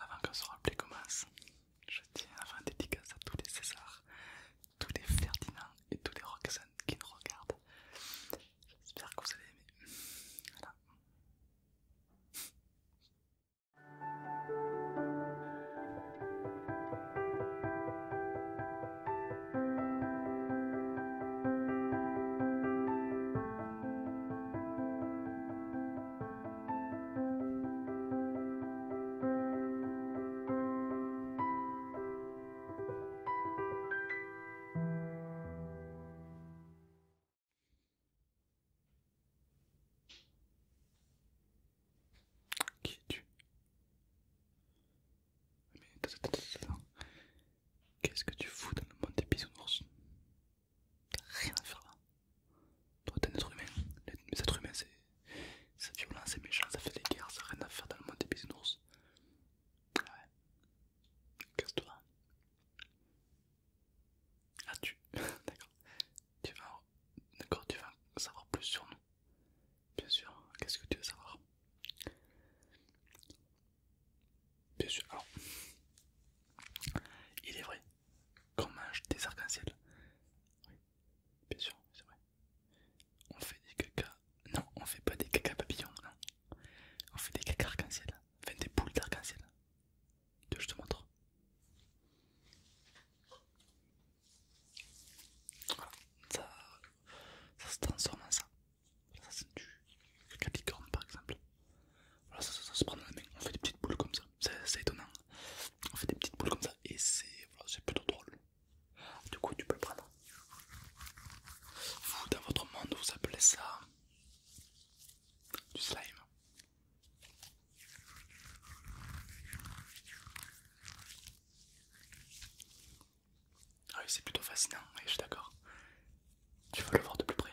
Avant que ce rappel commence, je tiens à faire une dédicace à tous les César, tous les Ferdinand et tous les Roxanne qui nous regardent. J'espère que vous avez aimé. Voilà. Qui es-tu Qu'est-ce que tu fous dans le monde des bisounours Rien à faire là. Toi, t'es un être humain. Les êtres humains, c'est violent, c'est méchant, ça fait des guerres, ça n'a rien à faire dans le monde des bisounours. Ouais. Casse-toi. Ah, tu. D'accord. Tu vas. D'accord, tu vas savoir plus sur nous. Bien sûr. Qu'est-ce que tu veux savoir Bien sûr, alors, il est vrai qu'on mange des arc en ciel Oui, bien sûr, c'est vrai. On fait des caca. Non, on fait pas des caca papillons, non. On fait des caca arc-en-ciel. Enfin, des boules d'arc-en-ciel. Je te montre. ça, ça se transforme en ça. Ça, c'est du capricorne par exemple. Voilà, ça, se prend dans la main. On fait des petites boules comme ça. C'est étonnant. On fait des petites boules comme ça et c'est plutôt drôle. Du coup, tu peux le prendre. Vous, dans votre monde, vous appelez ça du slime. Ah oui, c'est plutôt fascinant, oui, je suis d'accord. Tu veux le voir de plus près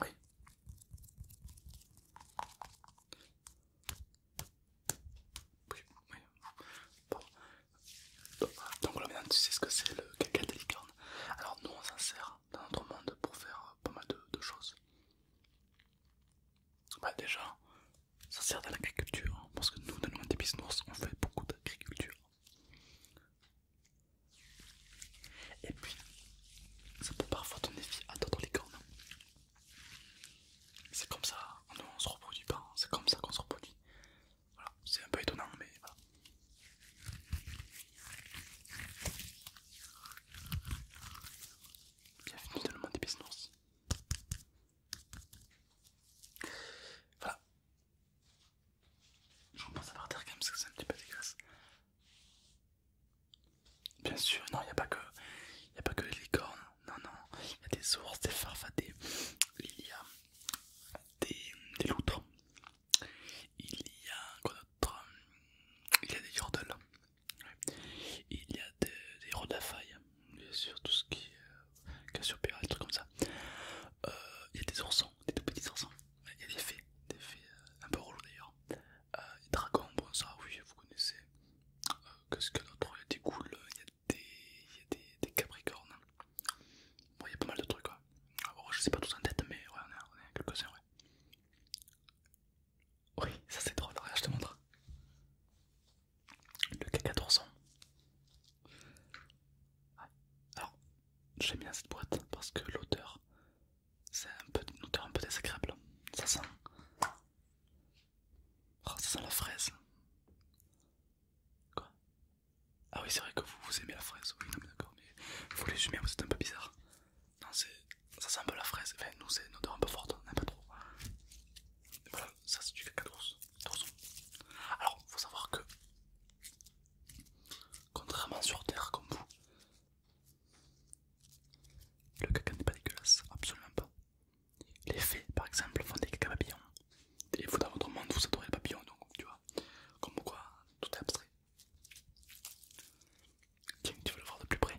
Oui. Bon. Donc voilà, maintenant tu sais ce que c'est le caca de licorne Alors nous on sert dans notre monde pour faire pas mal de, choses. Bah déjà, ça sert à l'agriculture, hein, parce que nous dans le monde des business on fait beaucoup d'agriculture. Et puis, ça peut parfois donner vie à d'autres licornes. C'est comme ça, on se reproduit pas, hein. c'est comme ça qu'on se reproduit. Voilà, c'est un peu étonnant mais voilà. Bienvenue dans le monde des business. Voilà. Je pense à partir comme quand même parce que c'est un petit peu dégueulasse. Bien sûr, non, il n'y a pas que. pas que les licornes, non, non, il y a des ours, des farfadés, il y a des loutres, il y a quoi d'autre Il y a des héros Il y a des, des failles, bien sûr, tout ce qui est cassure, des trucs comme ça. il y a des oursons, des tout petits oursons. Il y a des fées, des fées un peu relou d'ailleurs. Euh, dragons, bon ça oui, vous connaissez. Qu'est-ce que autre Il y a des goules, il y a des, il y a des, des capricornes. Bon, il y a pas mal de trucs. Alors, oh, je sais pas tout en tête, mais ouais, on est, quelques-uns, ouais. Oui, ça c'est drôle, regarde, je te montre. Le caca d'ourson. Ouais. Alors, j'aime bien cette boîte parce que l'odeur, c'est un peu une odeur un peu désagréable. Ça sent. Oh, ça sent la fraise. Quoi ah oui, c'est vrai que vous, vous aimez la fraise, oui, d'accord, mais vous les humains, vous êtes un peu bizarre. Non, c'est. Ça sent un peu la fraise, enfin, nous, c'est une odeur un peu forte, on n'aime pas trop. voilà, ça, c'est du caca d'ours. Alors, faut savoir que. Contrairement sur Terre, comme vous, le caca n'est pas dégueulasse, absolument pas. Les fées, par exemple, font des caca papillons. Et vous, dans votre monde, vous adorez les papillons, donc, tu vois, comme quoi, tout est abstrait. Tiens, tu veux le voir de plus près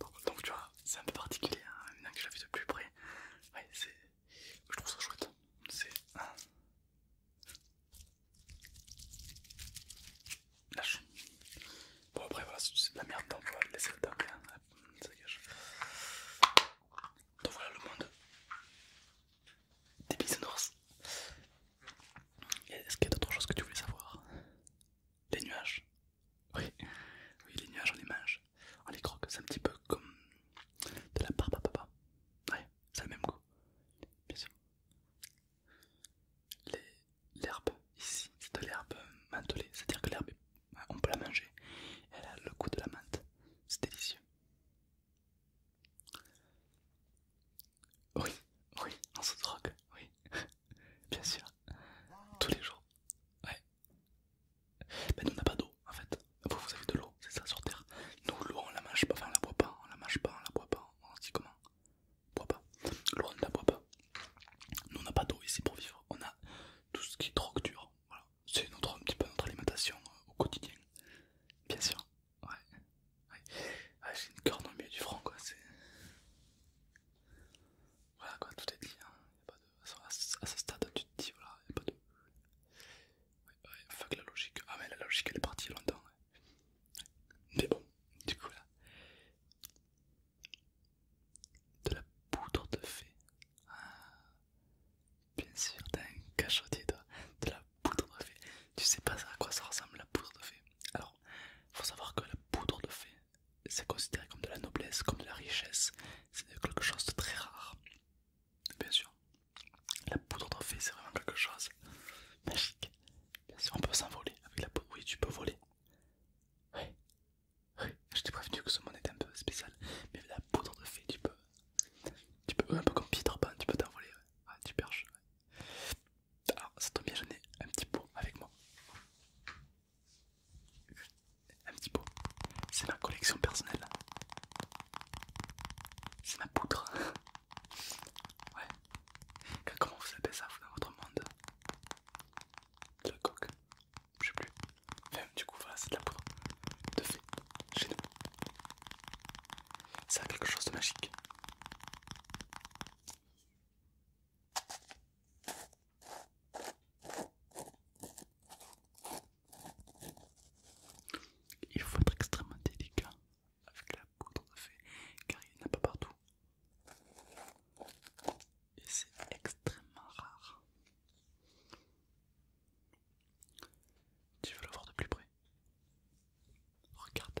Donc, tu vois, c'est un peu particulier, hein, un maintenant que je vu de plus près. c'est je trouve ça chouette. C'est lâche. Bon après voilà, c'est la merde, donc on va laisser Ça Donc voilà le monde des bisounours. Est-ce qu'il y a d'autres choses que tu voulais savoir des nuages oui, oui, les nuages, on les mange, on oh, les croque, c'est un petit peu comme de la barbe à papa. Ouais, c'est le même goût, bien sûr. L'herbe ici, c'est de l'herbe mentholée, c'est-à-dire que l'herbe, on peut la manger elle a le goût de la menthe, c'est délicieux. Oui, oui, on se drogue, oui, bien sûr, tous les jours, ouais, mais nous on n'a pas d'eau en fait. Vous, avez de l'eau, c'est ça sur Terre. Nous l'eau on la mange pas, enfin on la boit pas, on la mange pas, on la boit pas, on se dit comment Boit pas. L'eau on ne la boit pas. Nous on n'a pas d'eau ici pour vivre. On a tout ce qui est drogue dur C'est notre un petit peu notre alimentation euh, au quotidien. Bien sûr. Ouais. ouais. J'ai une corde au milieu du front quoi. Voilà quoi, tout est dit. Hein à ce stade, tu te dis, voilà, il n'y a pas de. Ouais, ouais, fuck la logique. Ah, mais la logique elle est partie longtemps. Ouais. Mais bon, du coup, là. De la poudre de fée. Ah, bien sûr, t'as un cachotier, toi. De la poudre de fée. Tu sais pas à quoi ça ressemble la poudre de fée. Alors, faut savoir que la poudre de fée, c'est considéré comme de la noblesse, comme de la richesse, c'est quelque chose de très rare. Bien sûr, la poudre de fée c'est vraiment quelque chose magique. Bien on peut s'envoler avec la poudre. Oui, tu peux voler. Oui, oui, je t'ai prévenu que ce monde était un peu spécial, mais la poudre de fée, tu peux. Tu peux, un peu comme Peter tu peux t'envoler. Ouais. Ah, tu perches. Alors, ah, ça tombe bien, j'en ai un petit peu avec moi un petit pot. C'est ma collection personnelle. C'est ma poudre. Ouais. Comment vous appelez ça, dans votre monde De la coque Je sais plus. Enfin, du coup, voilà, c'est de la poudre. De fait, chez nous. Ça a quelque chose de magique. Il faut être extrêmement délicat avec la qu'on a fait, car il n'y en a pas partout. Et c'est extrêmement rare. Tu veux le voir de plus près Regarde.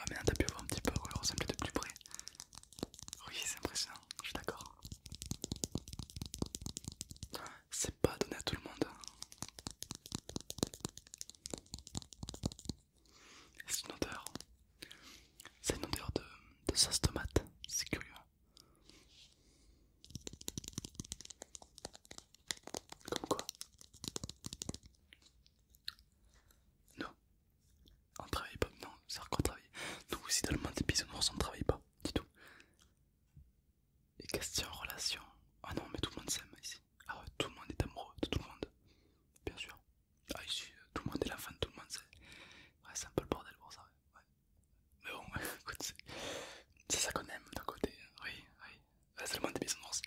Ah mais t'as pu voir un petit peu, ressemble de plus près. Oui, c'est impressionnant, je suis d'accord. C'est pas donné à tout le monde. C'est une odeur. C'est une odeur de, sauce tomate, c'est curieux. Comme quoi non on travaille pas, non, ça sert à Nous aussi dans le monde des bisounours on travaille pas, du tout. Et questions, relation. Ah non mais tout le monde s'aime ici. Ah tout le monde est amoureux de tout le monde. Bien sûr. Ah ici, tout le monde est la fin tout le monde c'est un peu le bordel pour ça, Mais bon, écoute, c'est ça qu'on aime d'un côté, oui, oui. C'est le monde des bisounours.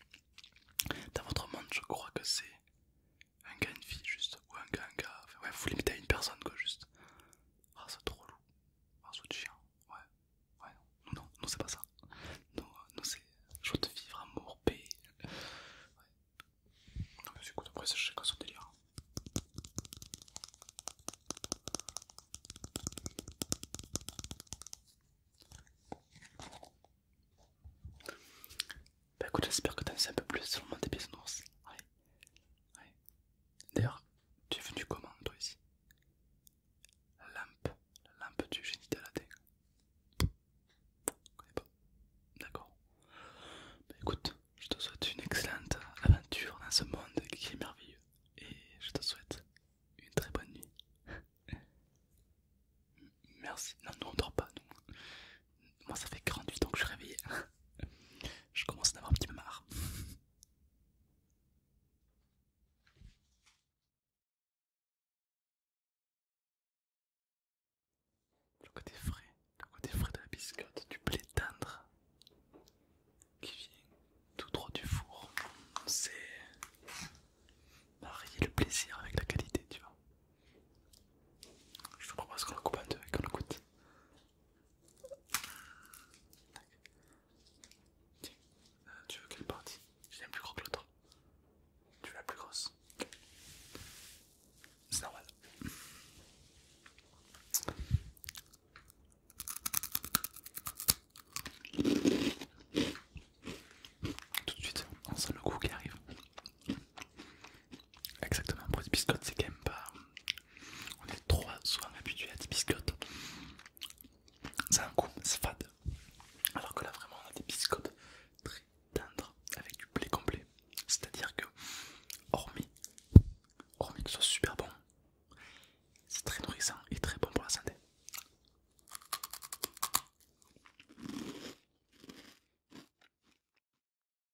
Dans votre monde je crois que c'est un gars, une fille, juste, ou un gars, un gars, enfin, ouais, vous limitez à une personne, quoi, juste. Ah, c'est trop lourd, ah, c'est chien, ouais, ouais, non, non, non, c'est pas ça, non, euh, non, c'est veux de vivre, amour, paix, ouais. Non, mais écoute, après, c'est quoi son délire. Hein. Bah écoute, j'espère que t'en sais un peu plus sur le monde des pièces d'ours D'ailleurs, tu es venu comment toi ici La lampe, la lampe du génie d'Aladin. pas. D'accord. Bah écoute, je te souhaite une excellente aventure dans ce monde qui est merveilleux. Et je te souhaite une très bonne nuit. Merci. Non, nous on dort pas, moi ça fait 48 ans que je suis réveillé. je commence à en avoir un petit peu marre. Le côté frais, le côté frais de la biscotte, du blé tendre qui vient tout droit du four, c'est marier le plaisir avec la qualité, tu vois. Je te propose qu'on le coupe en deux et qu'on le goûte. Tiens, euh, tu veux quelle partie Je l'aime plus gros que l'autre. Tu veux la plus grosse C'est normal. Tout de suite, on sent le coup qui arrive. Exactement, pour les biscottes, c'est quand même pas. On est trop souvent habitué à des biscottes. Ça un coup, c'est fade. Alors que là, vraiment, on a des biscottes très tendres avec du blé complet. C'est-à-dire que, hormis, hormis que ce soit super bon, c'est très nourrissant et très bon pour la santé.